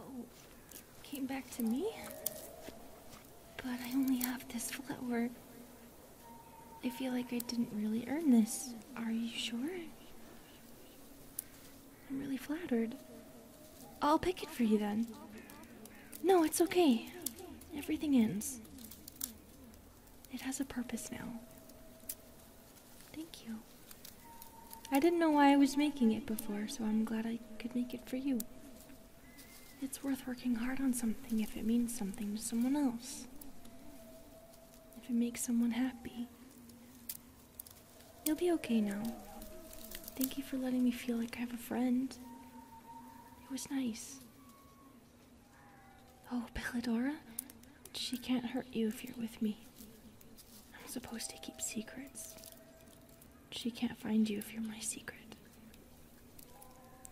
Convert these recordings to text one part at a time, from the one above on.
Oh, came back to me. But I only have this flower. I feel like I didn't really earn this. Are you sure? I'm really flattered. I'll pick it for you then. No, it's okay. Everything ends. It has a purpose now. Thank you. I didn't know why I was making it before, so I'm glad I could make it for you. It's worth working hard on something if it means something to someone else. If it makes someone happy. You'll be okay now. Thank you for letting me feel like I have a friend. It was nice. Oh, Belladora? She can't hurt you if you're with me. I'm supposed to keep secrets. She can't find you if you're my secret.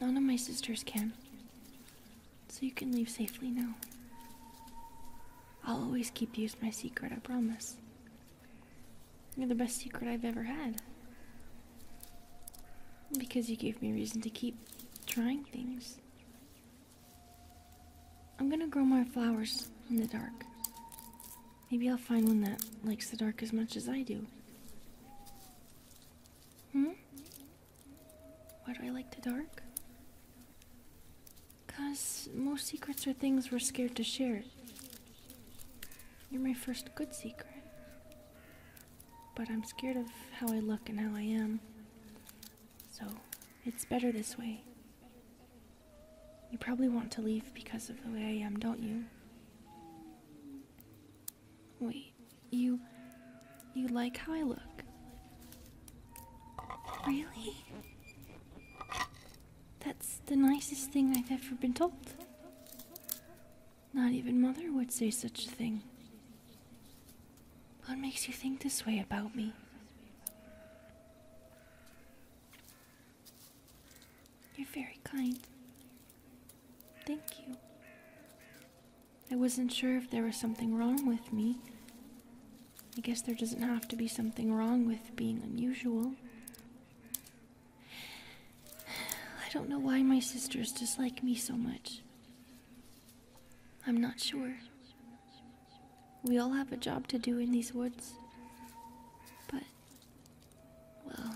None of my sisters can. So you can leave safely now. I'll always keep you as my secret, I promise. You're the best secret I've ever had. Because you gave me reason to keep trying things. I'm gonna grow my flowers in the dark. Maybe I'll find one that likes the dark as much as I do. Hmm? Why do I like the dark? Because most secrets are things we're scared to share. You're my first good secret. But I'm scared of how I look and how I am. So, it's better this way. You probably want to leave because of the way I am, don't you? Wait, you. You like how I look? Really? That's the nicest thing I've ever been told. Not even Mother would say such a thing. What makes you think this way about me? You're very kind. Thank you. I wasn't sure if there was something wrong with me. I guess there doesn't have to be something wrong with being unusual. I don't know why my sisters dislike me so much. I'm not sure. We all have a job to do in these woods. But, well,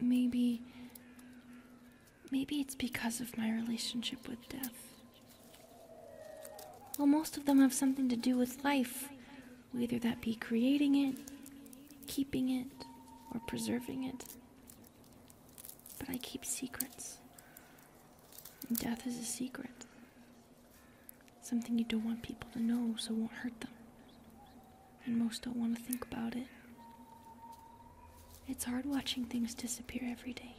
maybe Maybe it's because of my relationship with death. Well, most of them have something to do with life, whether that be creating it, keeping it, or preserving it. But I keep secrets. death is a secret. Something you don't want people to know, so it won't hurt them. And most don't want to think about it. It's hard watching things disappear every day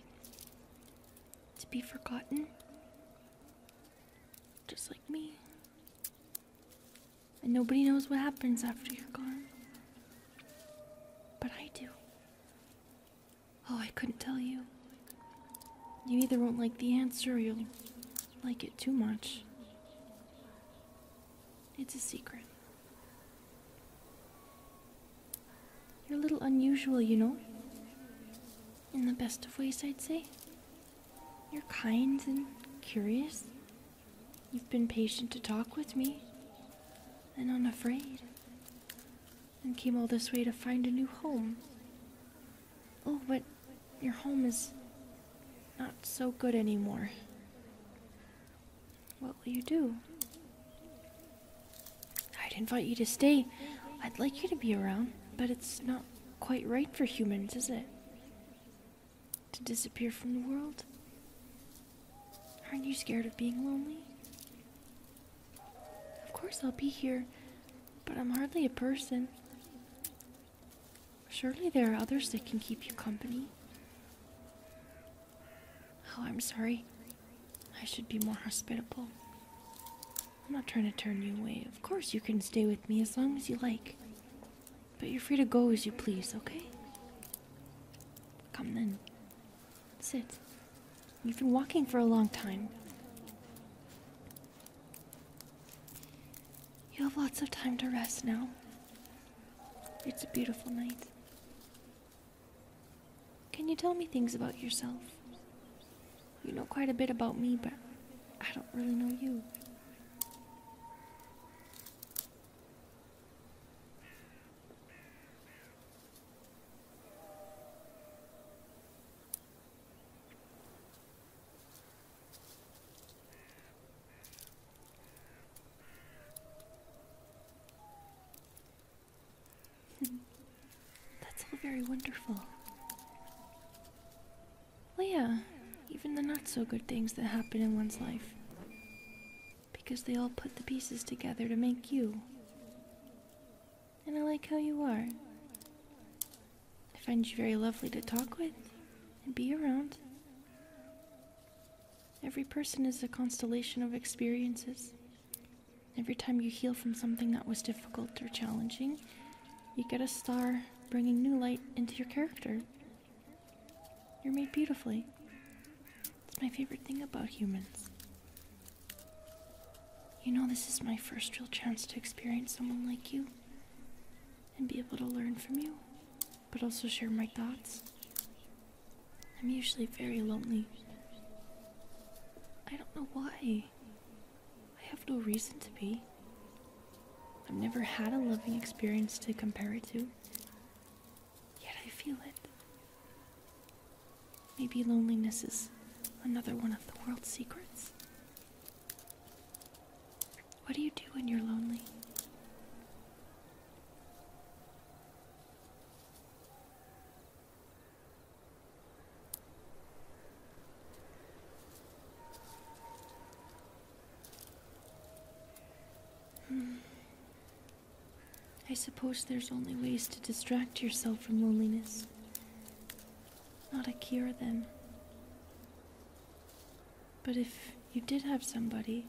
to be forgotten, just like me. And nobody knows what happens after you're gone. But I do. Oh, I couldn't tell you. You either won't like the answer or you'll like it too much. It's a secret. You're a little unusual, you know? In the best of ways, I'd say. You're kind and curious. You've been patient to talk with me, and unafraid, and came all this way to find a new home. Oh, but your home is not so good anymore. What will you do? I'd invite you to stay. I'd like you to be around, but it's not quite right for humans, is it? To disappear from the world? Aren't you scared of being lonely? Of course, I'll be here, but I'm hardly a person. Surely there are others that can keep you company. Oh, I'm sorry. I should be more hospitable. I'm not trying to turn you away. Of course, you can stay with me as long as you like. But you're free to go as you please, okay? Come then. Sit. You've been walking for a long time. You have lots of time to rest now. It's a beautiful night. Can you tell me things about yourself? You know quite a bit about me, but I don't really know you. Hmm. That's all very wonderful. Well, even the not so good things that happen in one's life. Because they all put the pieces together to make you. And I like how you are. I find you very lovely to talk with and be around. Every person is a constellation of experiences. Every time you heal from something that was difficult or challenging, you get a star bringing new light into your character. You're made beautifully. It's my favorite thing about humans. You know, this is my first real chance to experience someone like you and be able to learn from you, but also share my thoughts. I'm usually very lonely. I don't know why. I have no reason to be. I've never had a loving experience to compare it to, yet I feel it. Maybe loneliness is another one of the world's secrets. What do you do when you're lonely? Hmm. I suppose there's only ways to distract yourself from loneliness. Not a cure, then. But if you did have somebody,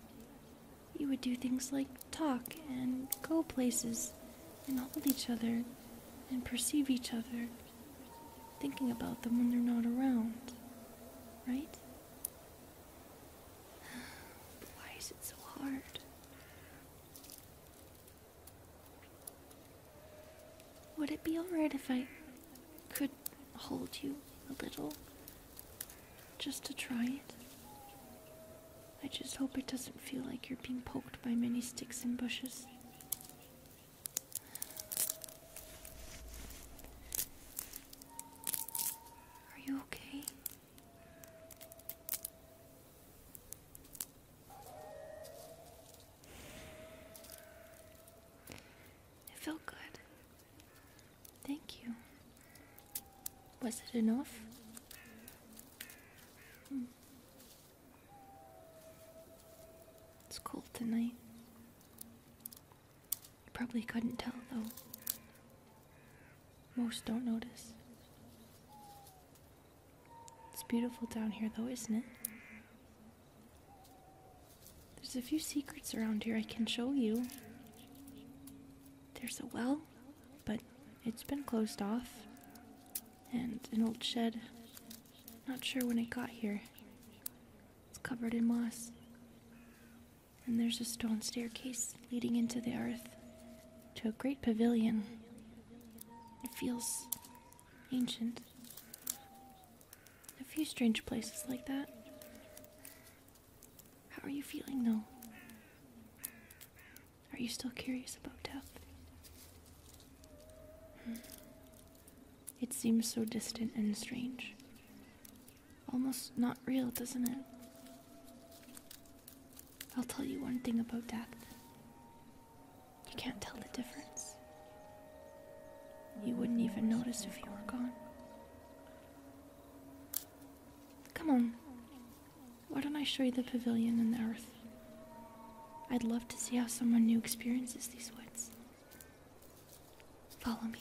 you would do things like talk and go places and hold each other and perceive each other, thinking about them when they're not around, right? Why is it so hard? Would it be alright if I could hold you a little? Just to try it? I just hope it doesn't feel like you're being poked by many sticks and bushes. Are you okay? It felt good. Thank you. Was it enough? Hmm. It's cold tonight. You probably couldn't tell, though. Most don't notice. It's beautiful down here, though, isn't it? There's a few secrets around here I can show you. There's a well, but it's been closed off, and an old shed. Not sure when it got here. It's covered in moss. And there's a stone staircase leading into the earth to a great pavilion. It feels ancient. A few strange places like that. How are you feeling though? Are you still curious about death? Hmm. It seems so distant and strange. Almost not real, doesn't it? I'll tell you one thing about death. You can't tell the difference. You wouldn't even notice if you were gone. Come on. Why don't I show you the pavilion and the earth? I'd love to see how someone new experiences these woods. Follow me.